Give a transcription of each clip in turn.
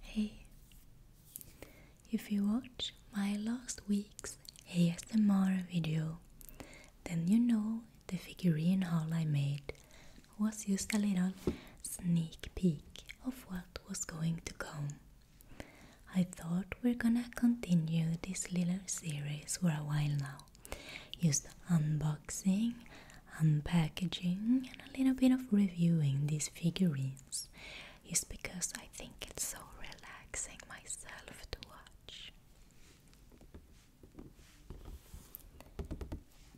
Hey! If you watch my last week's ASMR video, then you know the figurine haul I made was just a little sneak peek of what was going to come. I thought we're gonna continue this little series for a while now. Just unboxing unpackaging and a little bit of reviewing these figurines is because I think it's so relaxing myself to watch.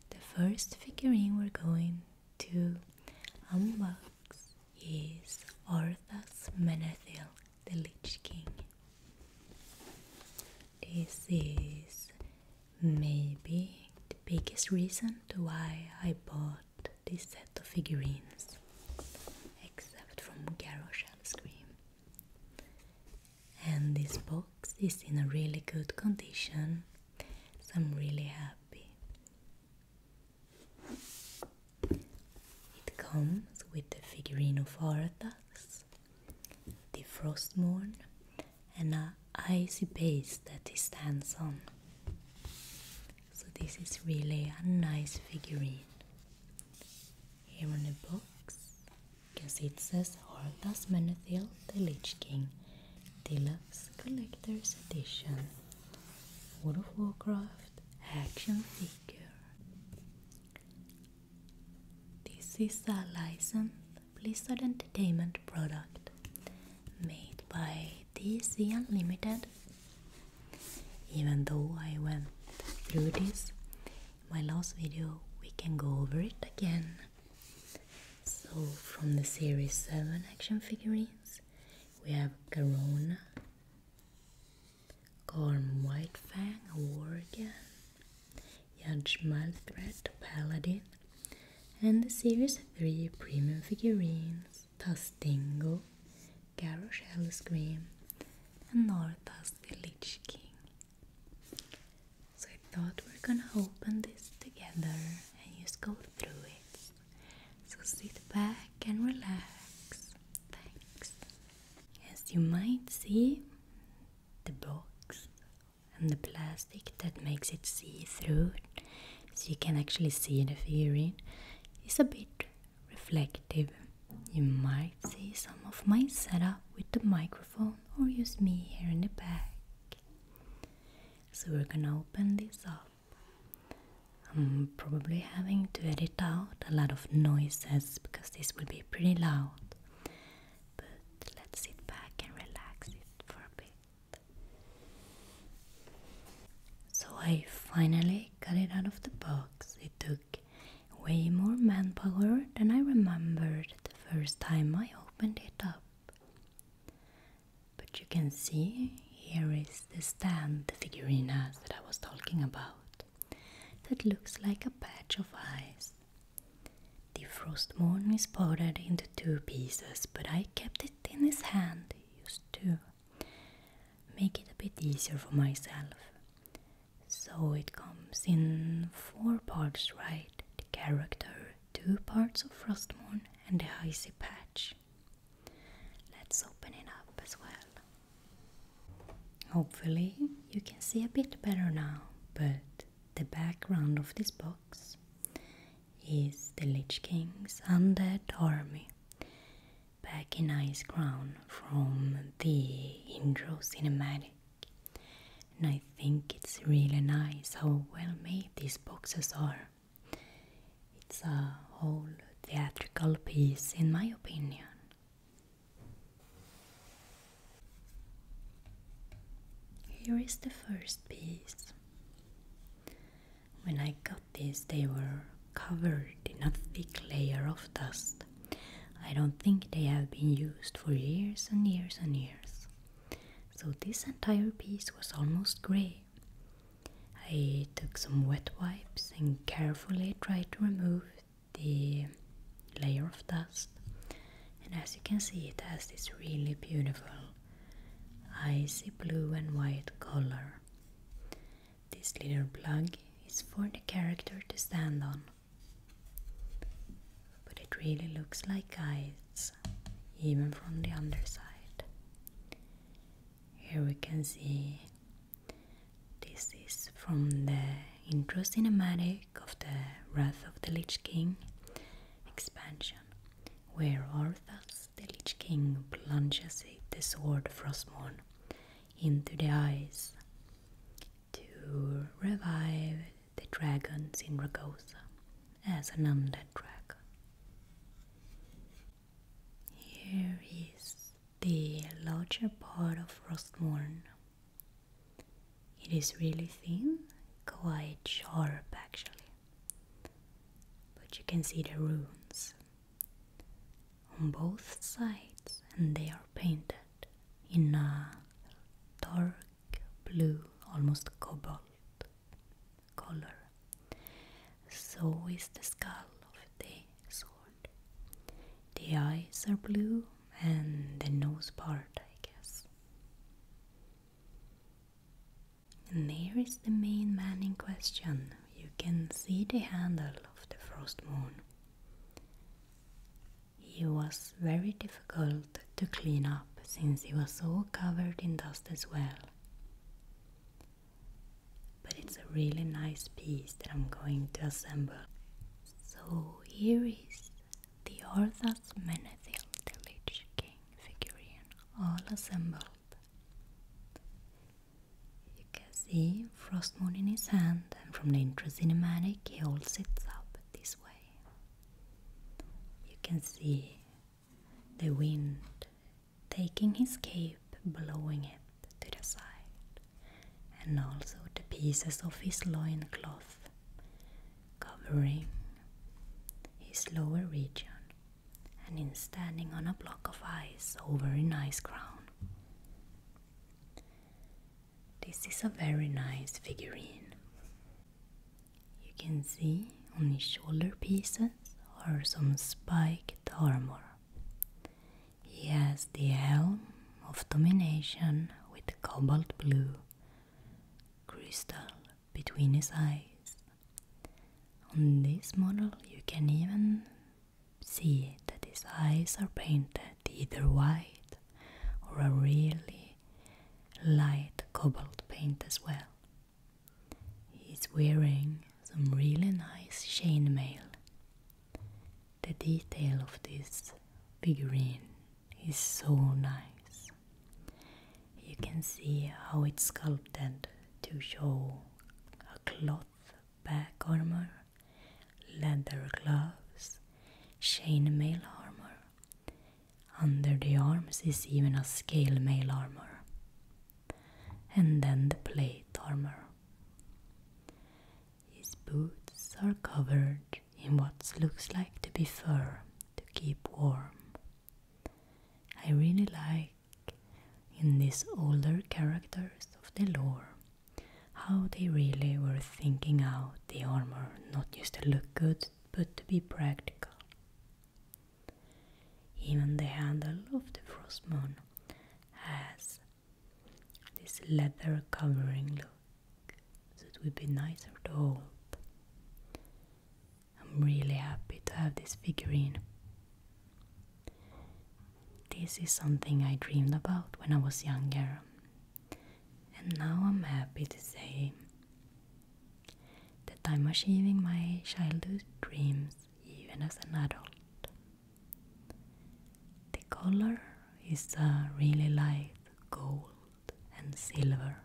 The first figurine we're going to unbox is Orthas Menethil, the Lich King. This is Maybe the biggest reason to why I bought this set of figurines, except from Garroshell Scream. And this box is in a really good condition, so I'm really happy. It comes with the figurine of Aratas, the Frostmourne, and an icy base that he stands on. So this is really a nice figurine. Here on the box, you can see it says Hordas Menethil, the Lich King, Deluxe Collector's Edition, World of Warcraft action figure. This is a licensed Blizzard Entertainment product made by this is the unlimited even though I went through this my last video we can go over it again so from the series 7 action figurines we have Corona, Garona White Fang, Worgen Judge Malthred Paladin and the Series 3 premium figurines Tastingo, Garrosh Hellscream, and Northas the Lich King. So I thought we're gonna open this together and just go through it. So sit back and relax. Thanks. As you might see, the box and the plastic that makes it see through so you can actually see the figurine, is a bit reflective. You might see some of my setup with the microphone or use me here in the back. So we're gonna open this up. I'm probably having to edit out a lot of noises because this will be pretty loud. But let's sit back and relax it for a bit. So I finally got it out of the box. It took way more manpower than I remembered the first time I opened it up. But you can see here is the stand, the figurinas that I was talking about, that looks like a patch of ice. The frost morn is parted into two pieces, but I kept it in his hand used to make it a bit easier for myself. So it comes in four parts, right? The character, two parts of Frostmourne, and the icy patch. Let's open it up as well. Hopefully, you can see a bit better now, but the background of this box is the Lich King's undead army, back in Ice Crown from the intro cinematic. And I think it's really nice how well made these boxes are. It's a whole theatrical piece, in my opinion. Here is the first piece. When I got these, they were covered in a thick layer of dust. I don't think they have been used for years and years and years. So this entire piece was almost grey. I took some wet wipes and carefully tried to remove the layer of dust. And as you can see, it has this really beautiful I see blue and white color. This little plug is for the character to stand on, but it really looks like eyes, even from the underside. Here we can see this is from the intro cinematic of the Wrath of the Lich King expansion, where Orthas the Lich King plunges the sword Frostmorn into the ice to revive the dragons in Ragosa as an undead dragon. Here is the larger part of Frostmorn. It is really thin, quite sharp actually. But you can see the runes on both sides, and they are painted in a dark blue, almost cobalt color. So is the skull of the sword. The eyes are blue, and the nose part, I guess. And there is the main man in question. You can see the handle of the frost moon. He was very difficult to clean up since he was so covered in dust as well. But it's a really nice piece that I'm going to assemble. So here is the Orthas Menethil Delich King figurine all assembled. You can see Frost Moon in his hand, and from the intro cinematic, he all sits up this way. You can see the wind taking his cape, blowing it to the side, and also the pieces of his loincloth covering his lower region and in standing on a block of ice over an ice crown. This is a very nice figurine. You can see on his shoulder pieces are some spiked armor. He has the helm of domination with cobalt blue crystal between his eyes. On this model, you can even see that his eyes are painted either white or a really light cobalt paint as well. He's wearing some really nice chainmail. The detail of this figurine is so nice. You can see how it's sculpted to show a cloth back armor, leather gloves, chain mail armor. Under the arms is even a scale mail armor, and then the plate armor. His boots are covered in what looks like to be fur to keep warm. I really like in these older characters of the lore how they really were thinking out the armor not just to look good but to be practical. Even the handle of the frost moon has this leather covering look, so it would be nicer to hold. I'm really happy to have this figurine. This is something I dreamed about when I was younger, and now I'm happy to say that I'm achieving my childhood dreams even as an adult. The color is a really light gold and silver,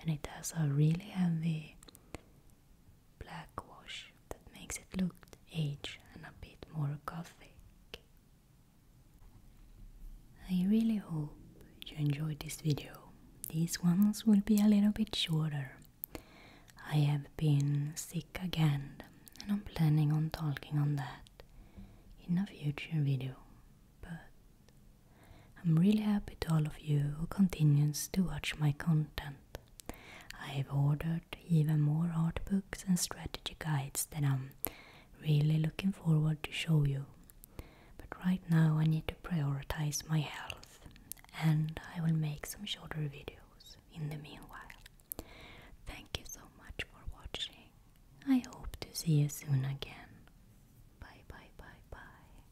and it has a really heavy black wash that makes it look aged and a bit more gothic. I really hope you enjoyed this video. These ones will be a little bit shorter. I have been sick again and I'm planning on talking on that in a future video, but I'm really happy to all of you who continues to watch my content. I have ordered even more art books and strategy guides that I'm really looking forward to show you. But right now I need to prioritize my health and I will make some shorter videos in the meanwhile. Thank you so much for watching. I hope to see you soon again. Bye bye bye bye.